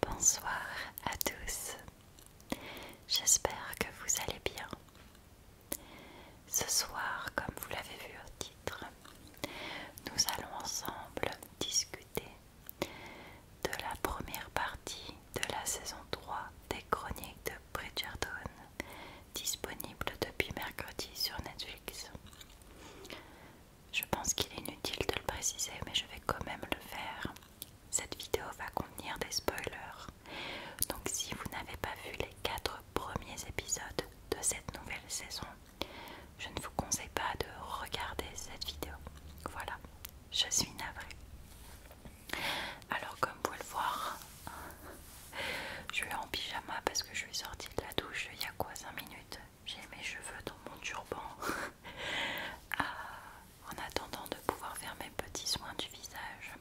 Bonsoir à tous, j'espère que vous allez bien. Ce soir, comme vous l'avez vu au titre, nous allons ensemble discuter de la première partie de la saison 3 des chroniques de Bridgerton disponible depuis mercredi sur Netflix. Je pense qu'il est inutile de le préciser, mais je vais quand même le faire. Cette vidéo va contenir des spoilers, donc si vous n'avez pas vu les 4 premiers épisodes de cette nouvelle saison, je ne vous conseille pas de regarder cette vidéo. Voilà, je suis navrée. Alors comme vous pouvez le voir, je suis en pyjama parce que je suis sortie de la douche il y a quoi 5 minutes J'ai mes cheveux dans mon turban ah, en attendant de pouvoir faire mes petits soins du visage.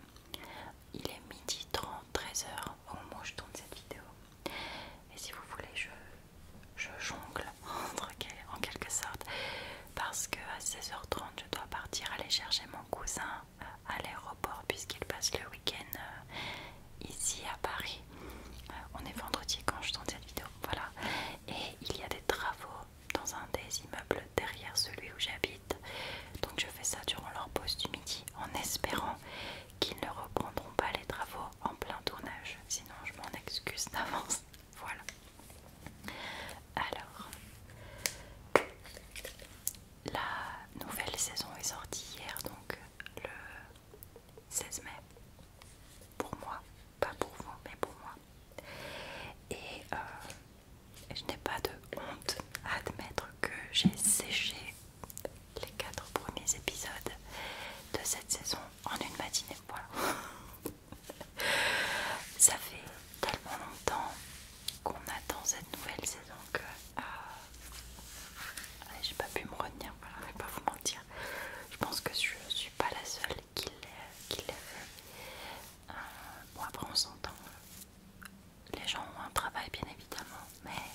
Il est midi 30, 13h au moment où je tourne cette vidéo. Et si vous voulez, je, jongle en quelque sorte parce que à 16h30 je dois partir aller chercher mon cousin à l'aéroport puisqu'il passe le week-end euh, ici à Paris. Euh, on est vendredi quand je tourne cette vidéo, voilà. Et il y a des travaux dans un des immeubles derrière celui où j'habite. Donc je fais ça durant leur pause du midi en espérant qu'ils ne reprendront pas les travaux en plein tournage. Sinon je m'en excuse d'avance. Voilà. Alors, la nouvelle saison est sortie hier, donc euh, le 16 mai. Pour moi, pas pour vous, mais pour moi. Et euh, je n'ai pas de honte à admettre que j'ai séché les quatre premiers épisodes de cette saison en une matinée. Voilà. Ça fait tellement longtemps qu'on attend cette nouvelle saison que euh, ah, j'ai pas pu me retenir, je vais pas vous mentir. Je pense que je suis pas la seule qui l'a fait. Euh, bon après on s'entend, les gens ont un travail bien évidemment, mais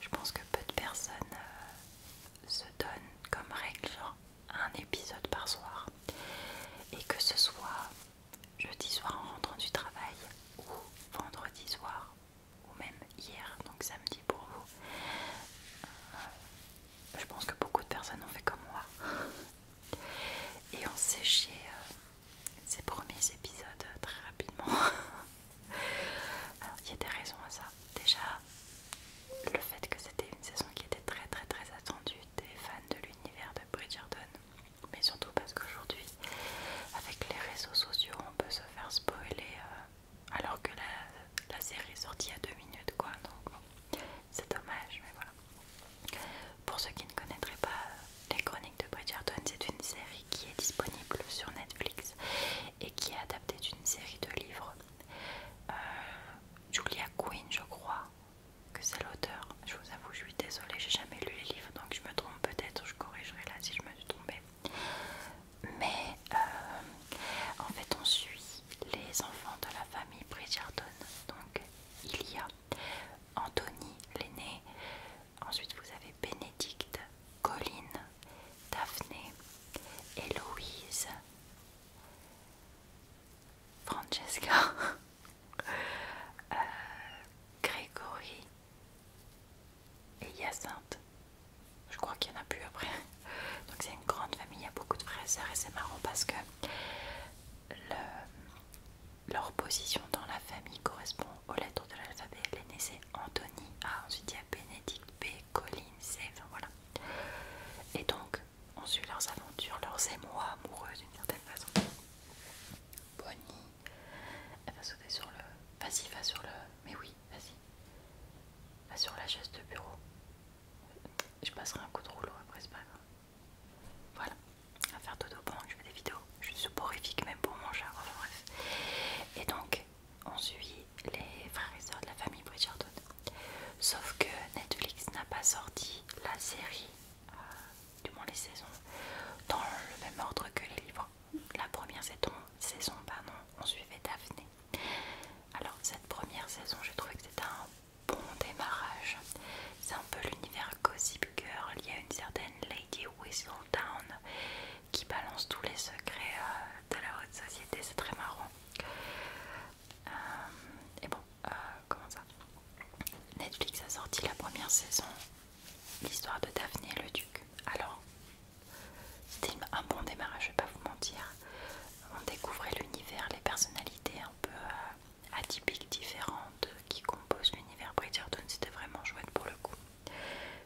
je pense que peu de personnes euh, se donnent comme règle genre un épisode par soir. Et que ce soit jeudi soir en rentrant du travail ou vendredi soir ou même hier, donc samedi pour vous. Euh, je pense que beaucoup de personnes ont fait comme moi et ont séché euh, ces premiers épisodes très rapidement. Alors il y a des raisons à ça. Déjà, le fait que c'était une saison qui était très très très attendue des fans de l'univers de Bridgerton mais surtout parce qu'aujourd'hui, avec les réseaux sociaux, on peut se faire spoiler euh, alors que la, série est sortie à deux minutes, quoi. Donc c'est dommage, mais voilà. Pour ceux qui ne connaîtraient pas euh, les chroniques de Bridgerton, c'est une série qui est disponible sur Netflix et qui est adaptée d'une série de livres. Euh, Julia Quinn, je crois que c'est l'auteur je vous avoue, je suis désolée, j'ai jamais lu les livres donc je me trompe peut-être, je corrigerai là si je me suis trompée. Mais euh, en fait, on suit les enfants de la famille Bridgerton. Donc il y a Anthony, l'aîné, ensuite vous avez Bénédicte, Colline, Daphné, Héloïse. Francesca Euh, Grégory et Hyacinthe. Je crois qu'il n'y en a plus après. Donc c'est une grande famille, il y a beaucoup de frères et sœurs et c'est marrant parce que leur position dans la famille correspond aux lettres de l'alphabet. L'aîné c'est Anthony A, ensuite il y a Bénédicte B, Colline C, enfin voilà. Et donc on suit leurs aventures, leurs émois amoureux d'une certaine façon. Bonnie. Elle va sauter sur le. Vas-y, va sur le. Mais oui, vas-y. Va sur la chaise de bureau. Je passerai un coup de rouleau après, c'est pas grave. Voilà. À faire dodo pendant que je fais des vidéos. Je suis horrifique même pour mon chat. Enfin, bref. Et donc, on suit les frères et sœurs de la famille Bridgerton. Sauf que Netflix n'a pas sorti la série. Euh, du moins les saisons, dans le même ordre que les livres. La première saison, non on suivait Daphné. Alors cette première saison, j'ai trouvé que c'était un bon démarrage. C'est un peu l'univers Gossip Girl. Il y a une certaine Lady Town qui balance tous les secrets euh, de la haute société. C'est très marrant. Euh, et bon, euh, comment ça Netflix a sorti la première saison l'histoire de Daphné et le duc. Alors, c'était un bon démarrage, je vais pas vous mentir. On découvrait l'univers, les personnalités un peu euh, atypiques, différentes qui composent l'univers Bridgerton. C'était vraiment chouette pour le coup.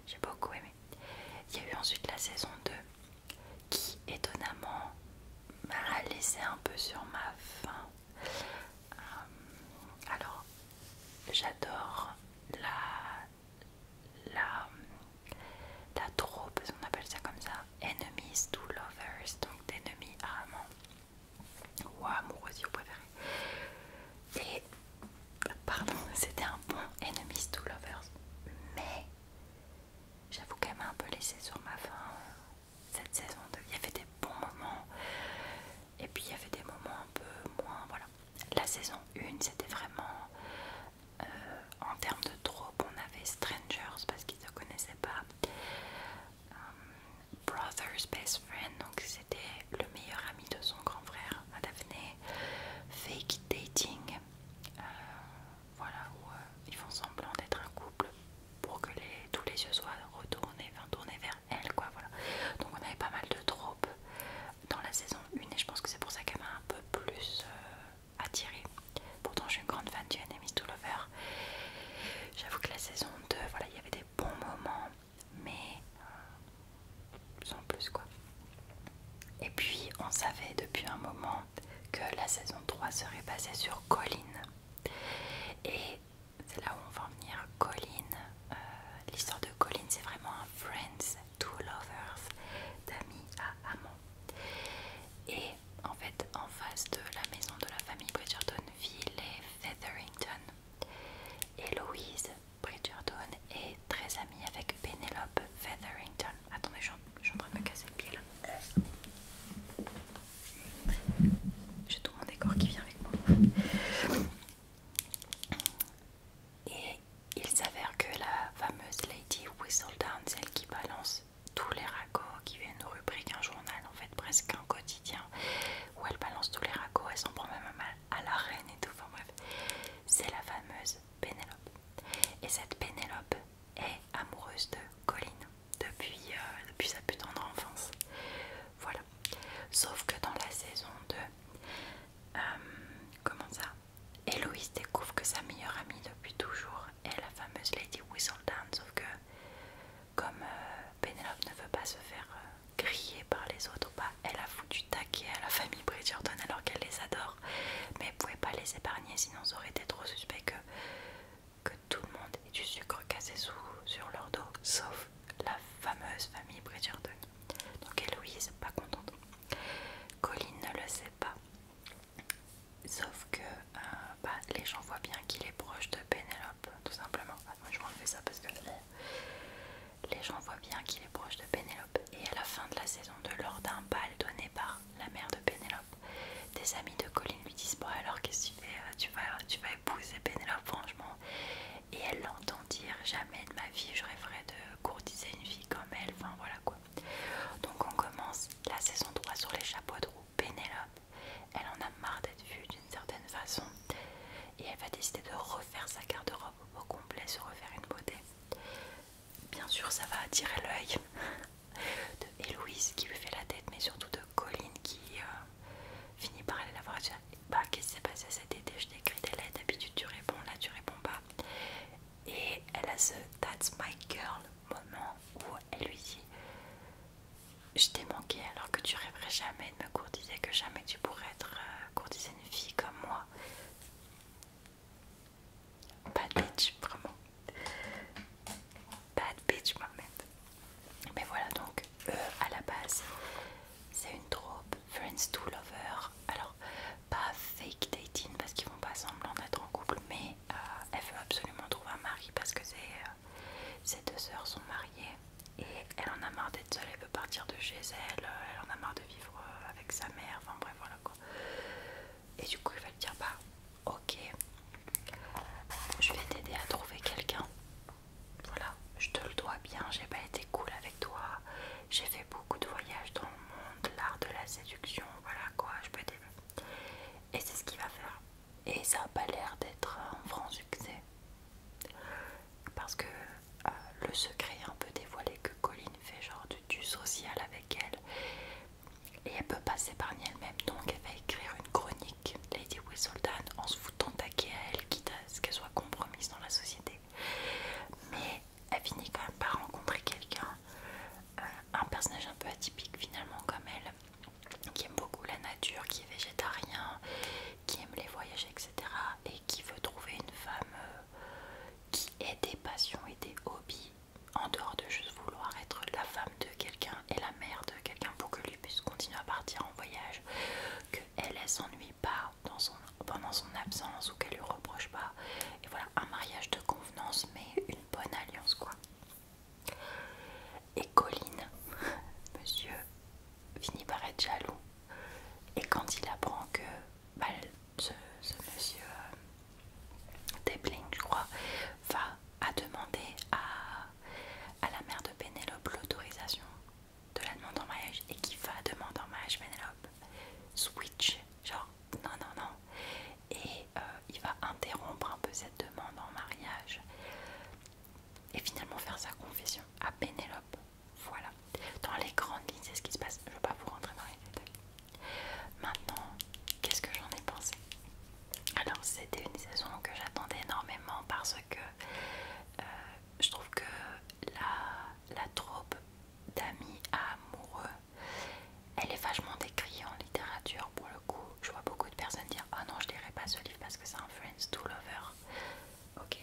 J'ai beaucoup aimé. Il y a eu ensuite la saison 2 qui étonnamment m'a laissé un peu sur ma faim. Euh, alors, j'adore la, la, la troupe, on appelle ça comme ça, enemies to lovers, donc d'ennemis à amants ou amoureux si vous préférez. Et, pardon, c'était un bon enemies to lovers, mais j'avoue qu'elle m'a un peu laissé sur ma faim euh, cette saison 2. Il y avait des bons moments, et puis il y avait des moments un peu moins voilà la saison 1 c'était vraiment euh, en termes de tropes, on avait Strangers parce qu'ils ne connaissaient pas euh, Brothers Best Friend donc c'était le meilleur ami de son grand frère à Daphné Fake Dating euh, voilà où ils font semblant d'être un couple pour que les, tous les yeux soient retournés, enfin, tournés vers elle quoi voilà. Donc on avait pas mal de tropes dans la saison 1 et je pense que c'est pour ça qu'elle m'a un peu plus euh, attirée. Pourtant je suis une grande fan du Enemies to Lover. J'avoue que la saison 2, voilà, il y avait des bons moments mais euh, sans plus quoi. Et puis on savait depuis un moment que la saison 3 serait basée sur Colline. Et c'est là où on va en venir. Colin, euh, l'histoire de Colin, c'est vraiment un friends to lovers, d'amis à amants. Et en fait, en face de la maison de la famille Bridgerton vit les Featherington. Et Louise Bridgerton est très amie avec Penelope Featherington. Attendez, je suis en train de me casser le pied là. J'ai tout mon décor qui vient avec moi. Et il s'avère que la fameuse Lady Whistledown, celle qui balance tous les ragots, qui viennent une rubrique, un journal en fait, presque un quotidien, où elle balance tous les ragots, elle s'en prend même à la reine et tout, enfin bref, c'est la fameuse Pénélope. Et cette Pénélope est amoureuse de Colin depuis, euh, depuis sa plus tendre enfance. Voilà, Sauf que dans la saison 2, euh, comment ça Héloïse découvre que sa meilleure amie depuis toujours est la fameuse Lady Whistledown. Sauf que, comme euh, Penelope ne veut pas se faire euh, griller par les autres, pas bah, elle a foutu taquet à la famille Bridgerton alors qu'elle les adore. Mais elle pouvait pas les épargner, sinon ça aurait été trop suspect que, tout le monde ait du sucre cassé sous, sur leur dos, la fameuse famille Bridgerton. Donc Héloïse, pas contente. Colin ne le sait pas. Sauf que euh, bah, les gens voient bien qu'il est proche de Pénélope, tout simplement. moi je fais ça parce que euh, les gens voient bien qu'il est proche de Pénélope. Et à la fin de la saison de lors d'un bal donné par la mère de Pénélope, des amis de Colin lui disent Bon, alors qu'est-ce que tu fais euh, vas, tu vas épouser Pénélope, franchement et elle l'entend dire. jamais de ma vie je rêverais de courtiser une fille comme elle enfin voilà quoi donc on commence la saison 3 sur les chapeaux de roue Pénélope elle en a marre d'être vue d'une certaine façon et elle va décider de refaire sa garde-robe au complet se refaire une beauté bien sûr ça va attirer l'œil de Héloïse qui lui fait la tête mais surtout de Colline qui euh, Fini par aller la voir et dire Bah, qu'est-ce qui s'est passé cet été Je t'écris des lettres, d'habitude tu réponds, là tu réponds pas. Et elle a ce That's my girl moment où elle lui dit Je t'ai manqué alors que tu rêverais jamais de me courtiser, que jamais tu pourrais être euh, courtiser une fille comme moi. Bad bitch, vraiment. Bad bitch, Mohamed. Mais voilà donc, euh, à la base, c'est une troupe Friends to Lover. Alors, pas fake dating parce qu'ils vont pas semblant être en couple, mais euh, elle veut absolument trouver un mari parce que euh, ses deux sœurs sont mariées et elle en a marre d'être seule, elle veut partir de chez elle, euh, elle en a marre de vivre avec sa mère, enfin bref, voilà quoi. Et du coup, il va lui dire Bah, ok, je vais t'aider à trouver quelqu'un voilà, je te le dois bien, j'ai pas été cool avec toi, j'ai fait beaucoup de voyages dans le monde, l'art de la séduction, voilà quoi, je peux t'aimer. Et c'est ce qu'il va faire. Et ça a pas l'air d'être un grand succès. Parce que euh, le secret un peu dévoilé que Colline fait genre du, social avec elle. Et elle peut pas s'épargner elle-même, donc elle va écrire une chronique, Lady Whistledown, tant à elle, quitte à qu'elle soit compromise dans la société. Mais elle finit quand même par rencontrer quelqu'un, euh, un personnage un peu atypique finalement comme elle, qui aime beaucoup la nature, qui est végétarien, qui aime les voyages, etc. Et qui veut trouver une femme euh, qui ait des passions et des hobbies en dehors de juste vouloir être la femme de quelqu'un et la mère de quelqu'un pour que lui puisse continuer à partir en voyage, que elle, elle s'ennuie pas dans son, pendant son absence ou qu'elle lui reproche pas. Et voilà, un mariage de convenance, mais une bonne alliance, quoi. Et Colline, monsieur, finit par être jaloux. Et quand il apprend que bah, ce, monsieur euh, je crois, va à demander à, à la mère de Pénélope l'autorisation de la demande en mariage et qui va demander en mariage Pénélope. switch, genre non, non, non, et euh, il va interrompre un peu cette demande en mariage et finalement faire sa confession à Pénélope. Voilà, dans les grandes lignes, c'est ce qui se passe. Je ne vais pas vous rentrer dans les détails. Maintenant, qu'est-ce que j'en ai pensé Alors, c'était une saison que j'attendais énormément parce que euh, je trouve que la, la troupe d'amis amoureux, elle est vachement décriée en littérature pour le coup. Je vois beaucoup de personnes dire Ah non, je lirai pas ce livre parce que c'est un « Friends to lover. Ok,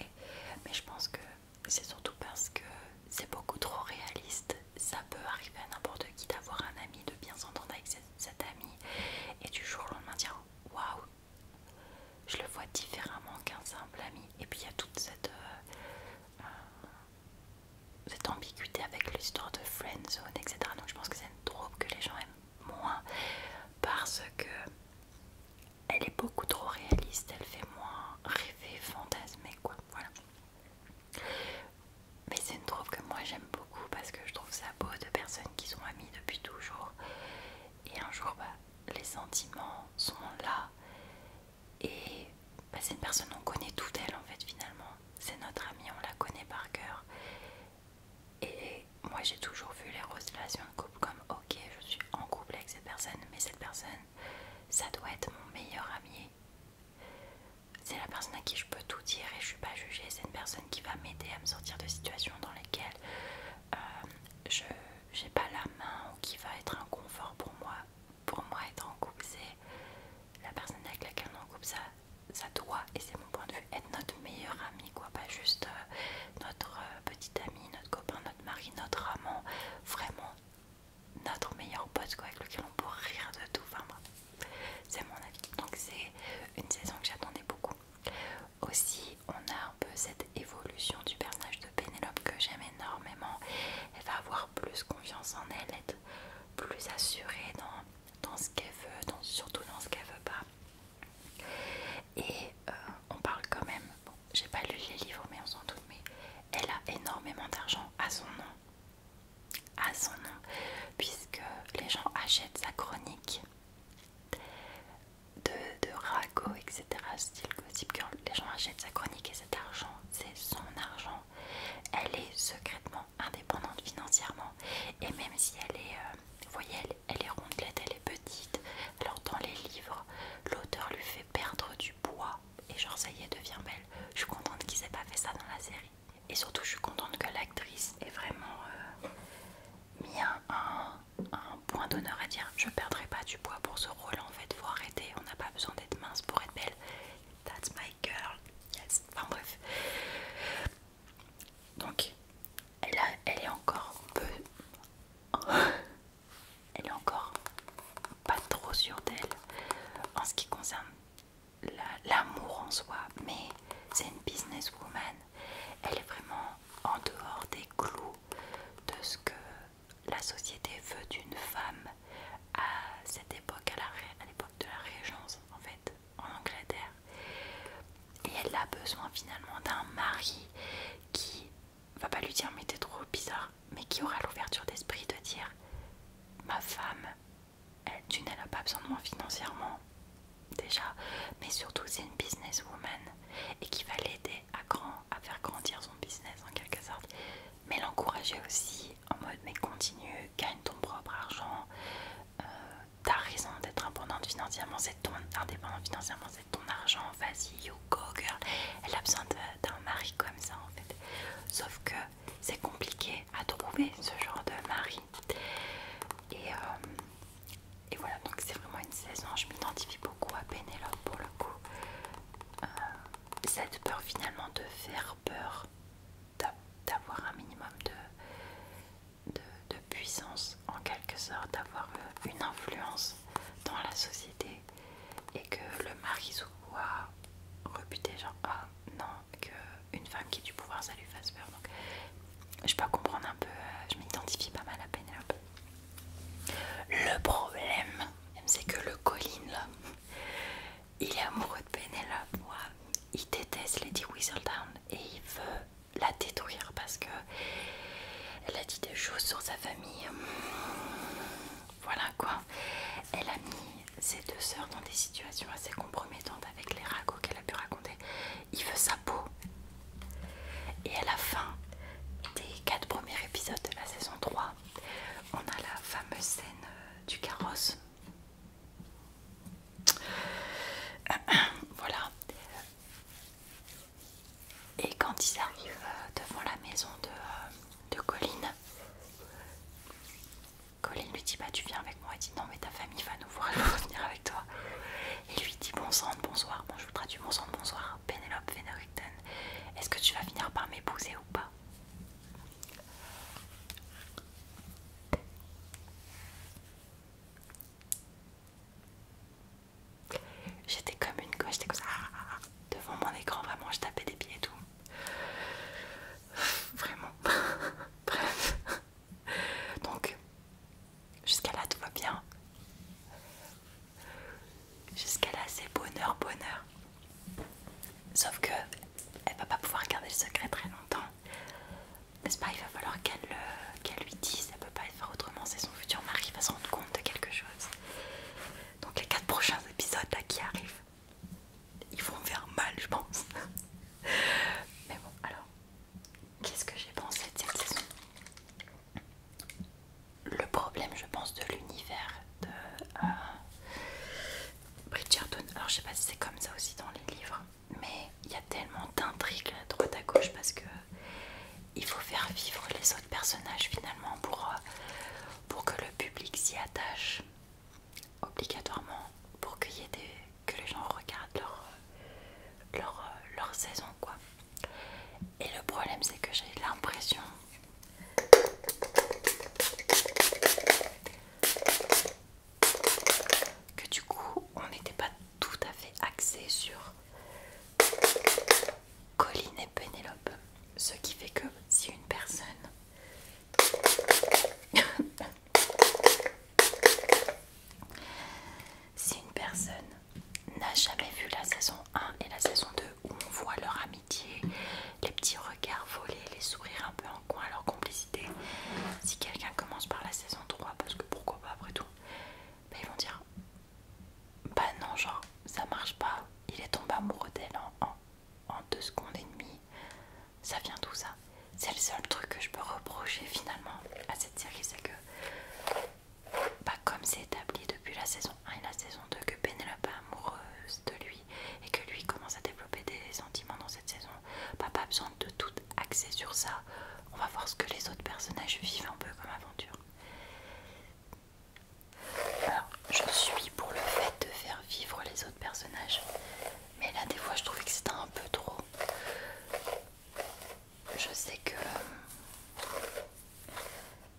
mais je pense que c'est surtout parce que c'est beaucoup trop réaliste. Ça peut arriver à n'importe qui d'avoir un ami, de bien s'entendre avec cet ami, et du jour au lendemain dire Waouh, je le vois différemment qu'un simple ami. Et puis il y a toute cette, euh, euh, ambiguïté avec l'histoire de friendzone, zone, etc. Donc je pense que c'est une troupe que les gens aiment moins parce que elle est beaucoup trop réaliste, elle fait moins rêver, fantasmer, quoi. Voilà. Mais c'est une troupe que moi j'aime beaucoup parce que je trouve ça beau de personnes qui sont amies depuis toujours. Et un jour, bah, les sentiments sont là et bah, c'est une personne, on connaît tout d'elle en fait finalement. C'est notre amie, on la connaît par cœur. Et moi j'ai toujours vu les relations de couple comme ok, je suis en couple avec cette personne, mais cette personne, ça doit être mon meilleur ami. C'est la personne à qui je peux tout dire et je suis pas jugée. C'est une personne qui va m'aider à me sortir de situations dans lesquelles euh, je j'ai pas la main ou qui va être un confort pour moi. Pour moi, être en couple, c'est la personne avec laquelle on est en couple, ça, ça doit, et c'est mon point de vue, être notre meilleure amie quoi. Pas juste euh, notre euh, petite amie, notre copain, notre mari, notre amant, vraiment notre meilleur pote, quoi, avec lequel on peut rire de tout. Enfin, c'est mon avis. Donc, c'est une saison que j'attendais beaucoup. Aussi, on a un peu cette évolution du personnage de Pénélope que j'aime énormément. Elle va avoir plus confiance en elle, être plus assurée dans, ce qu'elle veut, surtout dans ce qu'elle veut pas. Et euh, on parle quand même, bon, j'ai pas lu les livres, mais on s'en doute, mais elle a énormément d'argent à son nom. À son nom, puisque les gens achètent sa chronique de, de ragots, etc. Style Gossip Girl, les gens achètent sa chronique et cet argent, c'est son argent. Elle est secrètement indépendante financièrement et même si elle est, euh, voyez, elle, est rondelette, elle est petite. Alors dans les livres, l'auteur lui fait perdre du poids et genre ça y est, devient belle. Je suis contente qu'ils aient pas fait ça dans la série. Et surtout, je suis contente que l'actrice est vraiment bien euh, un, point d'honneur à dire je perdrai pas du poids pour ce rôle en fait faut arrêter on n'a pas besoin d'être mince pour être belle that's my girl yes enfin bref donc elle, elle est encore peu elle est encore pas trop sûre d'elle en ce qui concerne l'amour en soi mais c'est une business woman elle est vraiment en dehors des clous de ce que la société veut d'une femme à cette époque, à l'époque de la Régence en fait, en Angleterre. Et elle a besoin finalement d'un mari qui va pas lui dire mais t'es trop bizarre, mais qui aura l'ouverture d'esprit de dire ma femme, tu d'une elle pas besoin de moi financièrement déjà, mais surtout c'est une businesswoman et qui va l'aider à, à faire grandir son business en quelque sorte, mais l'encourager aussi en mode mais continue, gagne ton propre argent, euh, t'as raison d'être indépendante financièrement, c'est ton indépendant financièrement, c'est ton argent, vas-y, you go girl. Elle a besoin d'un mari comme ça en fait. Sauf que c'est compliqué à trouver ce genre de mari. Et euh, et voilà, donc c'est vraiment une saison, je m'identifie beaucoup à Pénélope pour le coup. Euh, cette peur finalement de faire peur, d'avoir un minimum de, puissance en quelque sorte, d'avoir euh, une influence dans la société et que le mari soit rebuté, genre ah non, qu'une femme qui a du pouvoir ça lui fasse peur. Donc je peux comprendre un peu, euh, je m'identifie pas mal à Pénélope. Le problème, c'est que le Colin, là, il est amoureux de Penelope. Il déteste Lady Whistledown et il veut la détruire parce que elle a dit des choses sur sa famille. Voilà quoi. Elle a mis ses deux sœurs dans des situations assez compromettantes avec les ragots qu'elle a pu raconter. Il veut sa peau. Et à la fin des quatre premiers épisodes de la saison 3, on a la fameuse scène euh, du carrosse. Voilà. Et quand ils arrivent euh, devant la maison de, euh, de Colline, Colline lui dit Bah, tu viens avec moi. il dit Non, mais ta famille va nous voir, elle va venir avec toi. Et lui dit Bon sang, bonsoir. Bon, je voudrais traduis bon sang, bonsoir. Penelope Venericton, est-ce que tu vas finir par m'épouser ou pas J'étais comme une gauche, j'étais comme ça, ah, ah, ah. devant mon écran, vraiment, je tapais des pieds et tout. Vraiment. Bref. Donc, jusqu'à là, tout va bien. Jusqu'à là, c'est bonheur, bonheur. Sauf que elle va pas pouvoir garder le secret très longtemps. N'est-ce pas Il va falloir qu'elle euh, lui dise, elle peut pas faire autrement, c'est son futur mari qui va se rendre compte de quelque chose. Donc les quatre prochains épisodes là qui arrivent, ils vont faire mal je pense. Mais bon alors, qu'est-ce que j'ai pensé de cette saison le problème, je pense, de l'univers de Richard euh, Bridgerton. Alors, je sais pas si c'est comme ça aussi dans les livres, mais il y a tellement d'intrigues droite à gauche parce que il faut faire vivre les autres personnages finalement pour, euh, pour que le public s'y attache obligatoirement pour que les gens regardent leur, leur saison quoi. Et le problème, c'est que j'ai l'impression que du coup, on n'était pas tout à fait axé sur Colline et Pénélope. Ce qui fait que si une personne si une personne n'a jamais vu la saison 1 et la saison 2 où on voit leur amitié, les petits regards volés, les sourires un peu en coin, leur complicité. Si quelqu'un commence par la saison 3, parce que pourquoi pas après tout, bah ils vont dire Bah non, genre ça marche pas, il est tombé amoureux d'elle en, en, deux secondes et demie. Ça vient tout ça C'est le seul truc que je peux reprocher finalement à cette série, c'est que pas bah, comme c'est établi depuis la saison 1 et la saison 2 que n'est pas amoureuse de lui et que lui commence à développer des sentiments dans cette saison, pas bah, pas besoin de tout axer sur ça. On va voir ce que les autres personnages vivent un peu comme aventure. Alors, je suis pour le fait de faire vivre les autres personnages, mais là des fois je trouve que c'était un peu trop. Je sais que euh,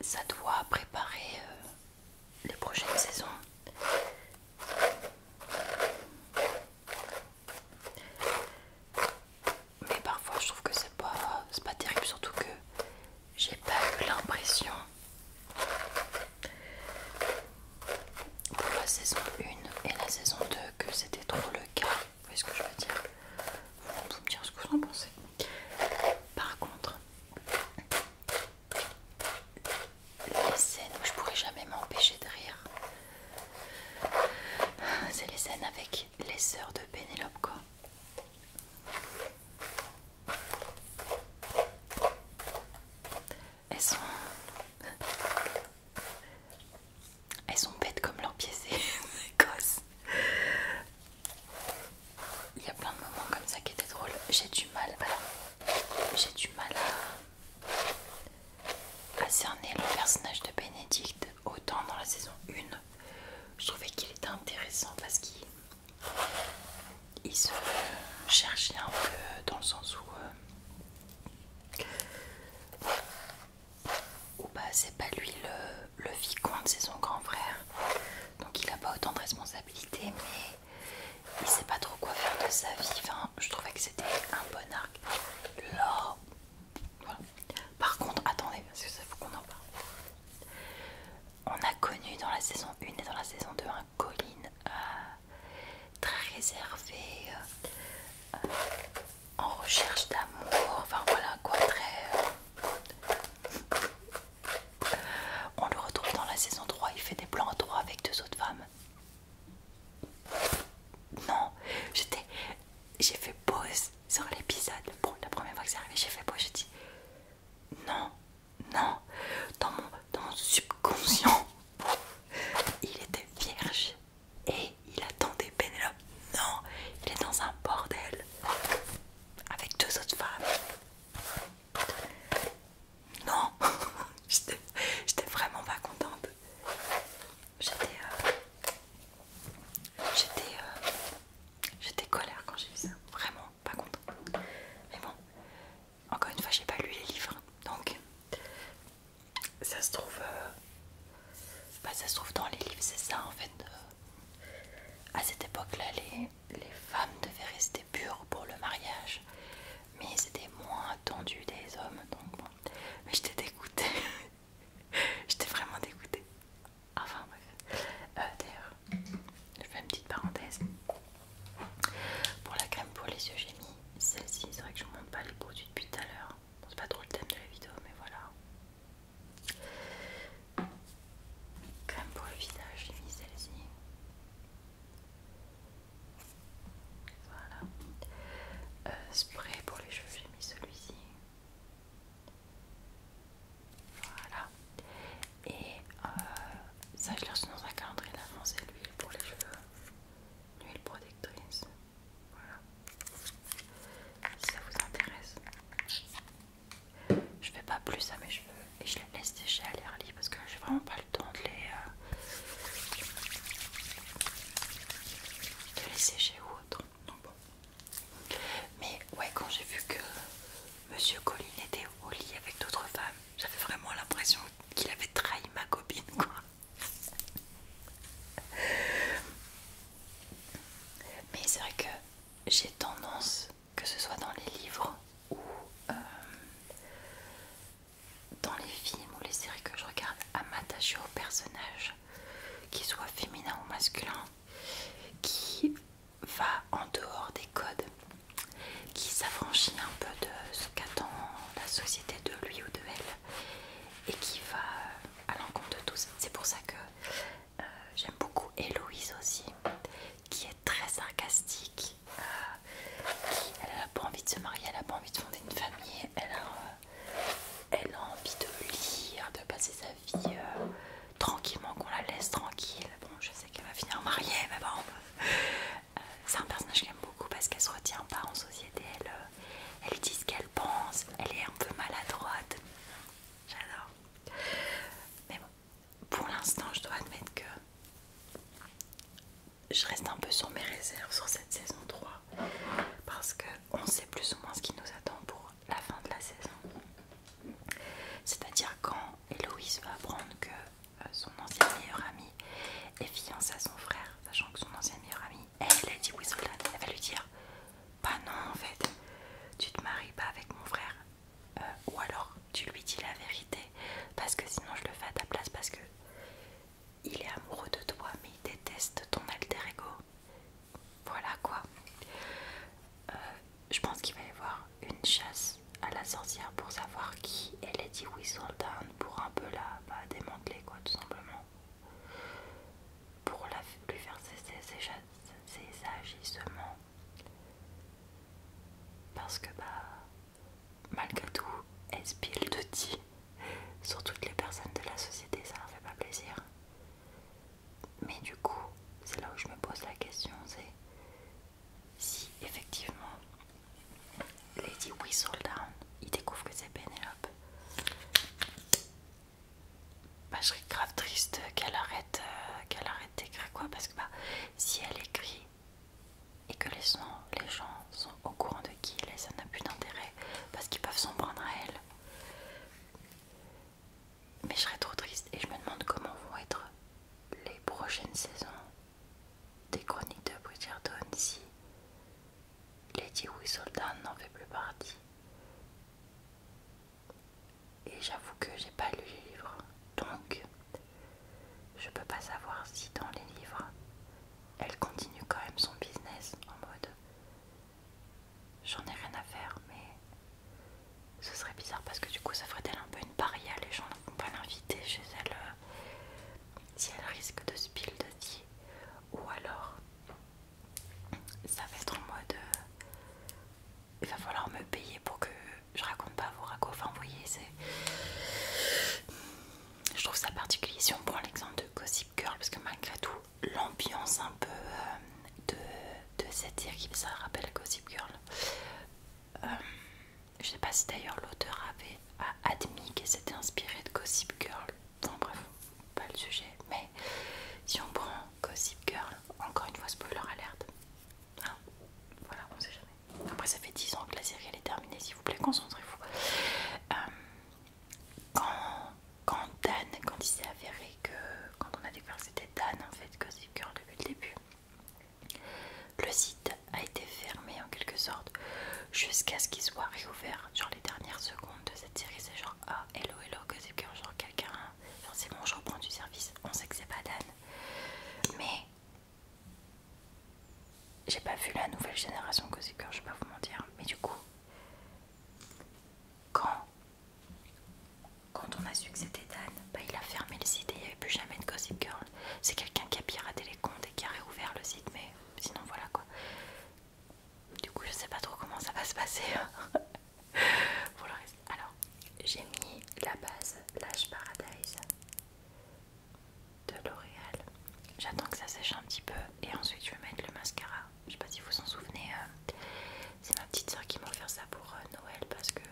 ça doit préparer euh, les prochaines saisons. Mais parfois je trouve que c'est pas, pas terrible, surtout que j'ai pas eu l'impression pour la saison 1 et la saison 2 que c'était trop le cas. Vous voyez ce que je veux dire Vous me dire ce que vous en pensez. Par contre, les scènes où je pourrais jamais m'empêcher de rire, c'est les scènes avec les sœurs de Pénélope, quoi. Elles sont. Elles sont bêtes comme leurs pièces. c'est Il y a plein de moments comme ça qui étaient drôles. J'ai du mal, j'ai du mal à, cerner le personnage de Bénédicte autant dans la saison 1. Je trouvais qu'il était intéressant parce qu'il se cherchait un peu dans le sens où. Euh, ou bah c'est pas lui le le vicomte, c'est son grand frère. Donc il n'a pas autant de responsabilités, mais il sait pas trop quoi faire de sa vie. Enfin, je trouvais que c'était un bon arc. L'or. Voilà. Par contre, attendez, parce que ça faut qu'on en parle. On a connu dans la saison 1 et dans la saison 2 un Colin euh, très réservé, euh, en recherche d'amour, enfin voilà quoi, très. Euh, on le retrouve dans la saison 3, il fait des plans à trois avec deux autres femmes. Non, j'étais. J'ai fait pause sur l'épisode. Bon, la première fois que c'est arrivé, j'ai fait pause, j'ai dit. Non, non, dans mon, dans subconscient, il était vierge et il attendait Pénélope. Non, il est dans un bordel avec deux autres femmes. Non, j'étais vraiment pas contente. J'étais euh, j'étais, euh, j'étais colère quand j'ai vu ça, vraiment pas contente. Mais bon, encore une fois, j'ai pas lu les livres, donc ça se trouve, euh, bah, ça se trouve dans les livres, c'est ça en fait. à cette époque-là, les les femmes devaient rester pures pour le mariage, mais c'était moins attendu des hommes, donc bon. Mais j'étais dégoûtée, j'étais vraiment dégoûtée. Enfin bref. Euh, d'ailleurs, je fais une petite parenthèse. Pour la crème pour les yeux, j'ai mis celle-ci. C'est vrai que je ne montre pas les produits depuis tout à l'heure. c'est pas trop le thème de la vidéo, mais voilà. Crème pour le visage, j'ai mis celle-ci. Voilà. Euh, spray pour les cheveux, j'ai mis celui-ci. Voilà. Et euh, ça, je l'ai reçu dans un calendrier d'avance c'est l'huile pour les cheveux. L'huile protectrice. Voilà. Si ça vous intéresse. Je fais pas plus à mes cheveux et je les laisse sécher à l'air lit parce que j'ai vraiment pas le temps de les, euh, sécher ou autre. Mais ouais, quand j'ai vu que Monsieur Colline était au lit avec d'autres femmes, j'avais vraiment l'impression qu'il avait trahi ma copine quoi. Mais c'est vrai que j'ai tendance que ce soit dans les livres ou euh, dans les films ou les séries que je regarde, à m'attacher au personnage qu'il soit féminin ou masculin qui va en dehors des codes, qui s'affranchit un peu de ce qu'attend la société de lui ou de elle et qui va euh, à l'encontre de tous. C'est pour ça que euh, j'aime beaucoup Héloïse aussi, qui est très sarcastique. Euh, qui, elle n'a pas envie de se marier, elle n'a pas envie de fonder une famille, euh, elle a, envie de lire, de passer sa vie tranquillement, qu'on la laisse tranquille. Bon, je sais qu'elle va finir mariée, mais bon. C'est un personnage que j'aime beaucoup parce qu'elle se retient pas en société, elle, elle dit ce qu'elle pense, elle est un peu maladroite. J'adore. Mais bon, pour l'instant, je dois admettre que je reste un peu sur mes réserves sur cette saison 3 parce qu'on sait plus ou moins ce qui nous attend pour la fin de la saison. C'est-à-dire quand Héloïse va apprendre que euh, son ancien meilleure ami est fiancée à son frère, sachant que son ancien meilleure amie, elle, Lady elle va lui dire Bah non, en fait, tu te maries pas avec mon frère, euh, ou alors tu lui dis la vérité parce que sinon je le fais à ta place parce que il est amoureux de toi mais il déteste ton alter ego. Voilà quoi. Euh, je pense qu'il va y avoir une chasse à la sorcière pour savoir qui elle est Lady Whistledown pour un peu la bah, démanteler quoi tout simplement. Pour lui faire ses agissements parce que, bah, malgré tout, elle pile de dit sur toutes les personnes de la société, ça leur fait pas plaisir. Mais du coup, c'est là où je me pose la question, c'est si effectivement Lady Whistledown, il découvre que c'est Penelope bah, je serais grave triste qu'elle arrête euh, qu'elle arrête d'écrire quoi parce que bah, si elle écrit et que les gens, sont au courant de qui elle ça n'a plus d'intérêt parce qu'ils peuvent s'en prendre à elle. Mais je serais trop triste et je me demande comment vont être les prochaines saisons des chroniques de Bridgerton si Lady Whistledown n'en fait plus partie. Et j'avoue que j'ai pas lu les livres, donc je peux pas savoir si dans les livres elle continue quand même son business en mode j'en ai rien à faire, mais ce serait bizarre parce que du coup ça ferait elle un peu une paria, les gens ne vont pas l'inviter chez elle euh, si elle risque de se de ou alors ça va être en mode il va falloir me payer pour que je raconte pas vos ragots. Enfin, vous voyez, c'est. Je trouve ça particulier. Si on prend l'exemple de Gossip Girl, parce que malgré tout, l'ambiance un peu euh, de, cette satire ça rappelle Gossip Girl. Euh, je sais pas si d'ailleurs l'auteur avait admis qu'elle s'était inspiré de Gossip Girl. Enfin bref, pas le sujet. Mais si on prend Gossip Girl, encore une fois spoiler alert. Ah, voilà, on sait jamais. Après, ça fait 10 ans que la série elle est terminée, s'il vous plaît, concentrez-vous. Euh, quand, Dan, quand il s'est avéré que. Quand on a découvert que c'était Dan en fait, que Girl début le début, le site a été fermé en quelque sorte jusqu'à ce qu'il soit réouvert. Genre les dernières secondes de cette série, c'est genre ah, hello, hello, que Girl, genre quelqu'un. c'est bon, je reprends du service. On sait que c'est pas Dan. Mais j'ai pas vu la nouvelle génération Gossip Girl, je vais pas vous mentir. Mais du coup, quand, quand on a su que c'était Dan, bah il a fermé le site et il n'y avait plus jamais de Cozy Girl. C'est quelqu'un qui a piraté les comptes et qui a réouvert le site, mais sinon voilà quoi. Du coup, je sais pas trop comment ça va se passer. pour le reste. Alors, j'ai mis la base Lash Paradise de L'Oréal. J'attends que ça sèche un petit peu et ensuite je vais mettre le mascara. Je sais pas si vous vous en souvenez, euh, c'est ma petite sœur qui m'a offert ça pour euh, Noël parce que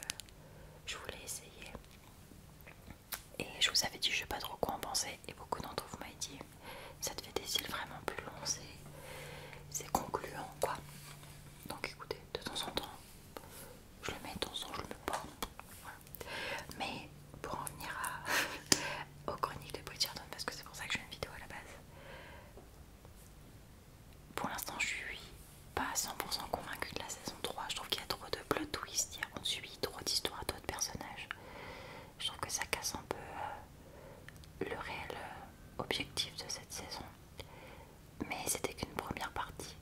je voulais essayer. Et je vous avais dit, je sais pas trop quoi en penser, et beaucoup d'entre vous m'avaient dit ça te fait des cils vraiment plus longs, c'est concluant quoi. Donc écoutez, de temps en temps, je le mets dans son, en je le mets Mais pour en venir à, aux chroniques de Bridgerton, parce que c'est pour ça que j'ai une vidéo à la base, pour l'instant je suis pas 100% convaincue de la saison 3. Je trouve qu'il y a trop de plot twist, on suit trop d'histoires d'autres personnages. Je trouve que ça casse un peu euh, le réel euh, objectif de cette saison mais c'était qu'une première partie.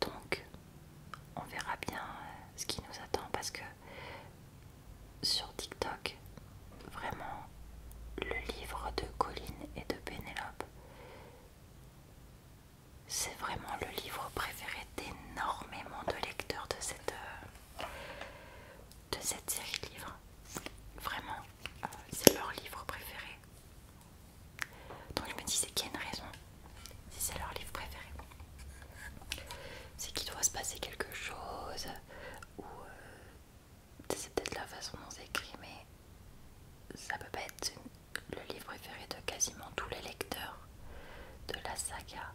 Donc, on verra bien euh, ce qui nous attend parce que sur TikTok, vraiment, le livre de Colline et de Pénélope, c'est vraiment le livre préféré d'énormément de lecteurs de cette, euh, de série de livres. Vraiment, euh, c'est leur livre préféré. Donc je me dis c'est qu'il y a une raison, si c'est leur livre préféré. C'est qu'il doit se passer quelque chose, ou euh, c'est peut-être la façon dont c'est écrit, mais ça peut pas être le livre préféré de quasiment tous les lecteurs de la saga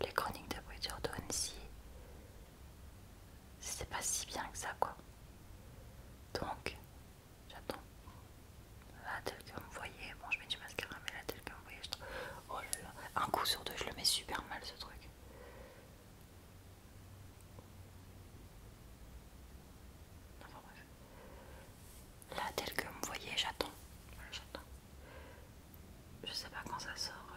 Les Chroniques de Bridgerton si c'est pas si bien que ça quoi. Donc J'attends. Là, tel que vous me voyez. Bon, je mets du mascara, mais là, tel que vous me voyez, je trouve. Oh là là. Un coup sur deux, je le mets super mal ce truc. Enfin bref. Là, tel que vous me voyez, j'attends. j'attends. Je sais pas quand ça sort. Euh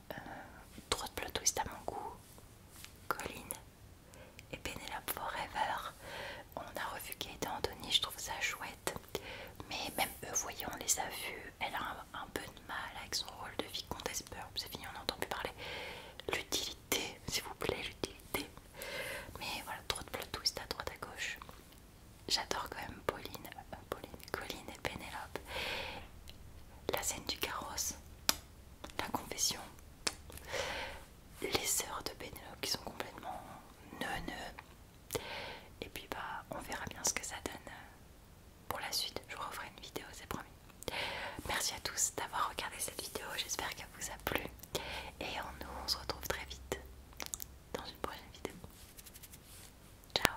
trop euh, de plot twist à mon goût, Colline et Penelope Forever. On a revu Kate et Anthony, je trouve ça chouette. Mais même eux, voyons, on les a vus. Elle a un, peu de mal avec son rôle de vicomtesse peur. C'est fini, on n'entend plus parler. L'utilité, s'il vous plaît, l'utilité. Mais voilà, trop de plot twist à droite à gauche. J'adore quand même Pauline, Pauline, Colline et Pénélope la scène du carrosse, la confession, les sœurs de Benelux qui sont complètement neuneux. Et puis bah on verra bien ce que ça donne euh, pour la suite. Je vous referai une vidéo, c'est promis. Merci à tous d'avoir regardé cette vidéo, j'espère qu'elle vous a plu. Et nous on se retrouve très vite dans une prochaine vidéo. Ciao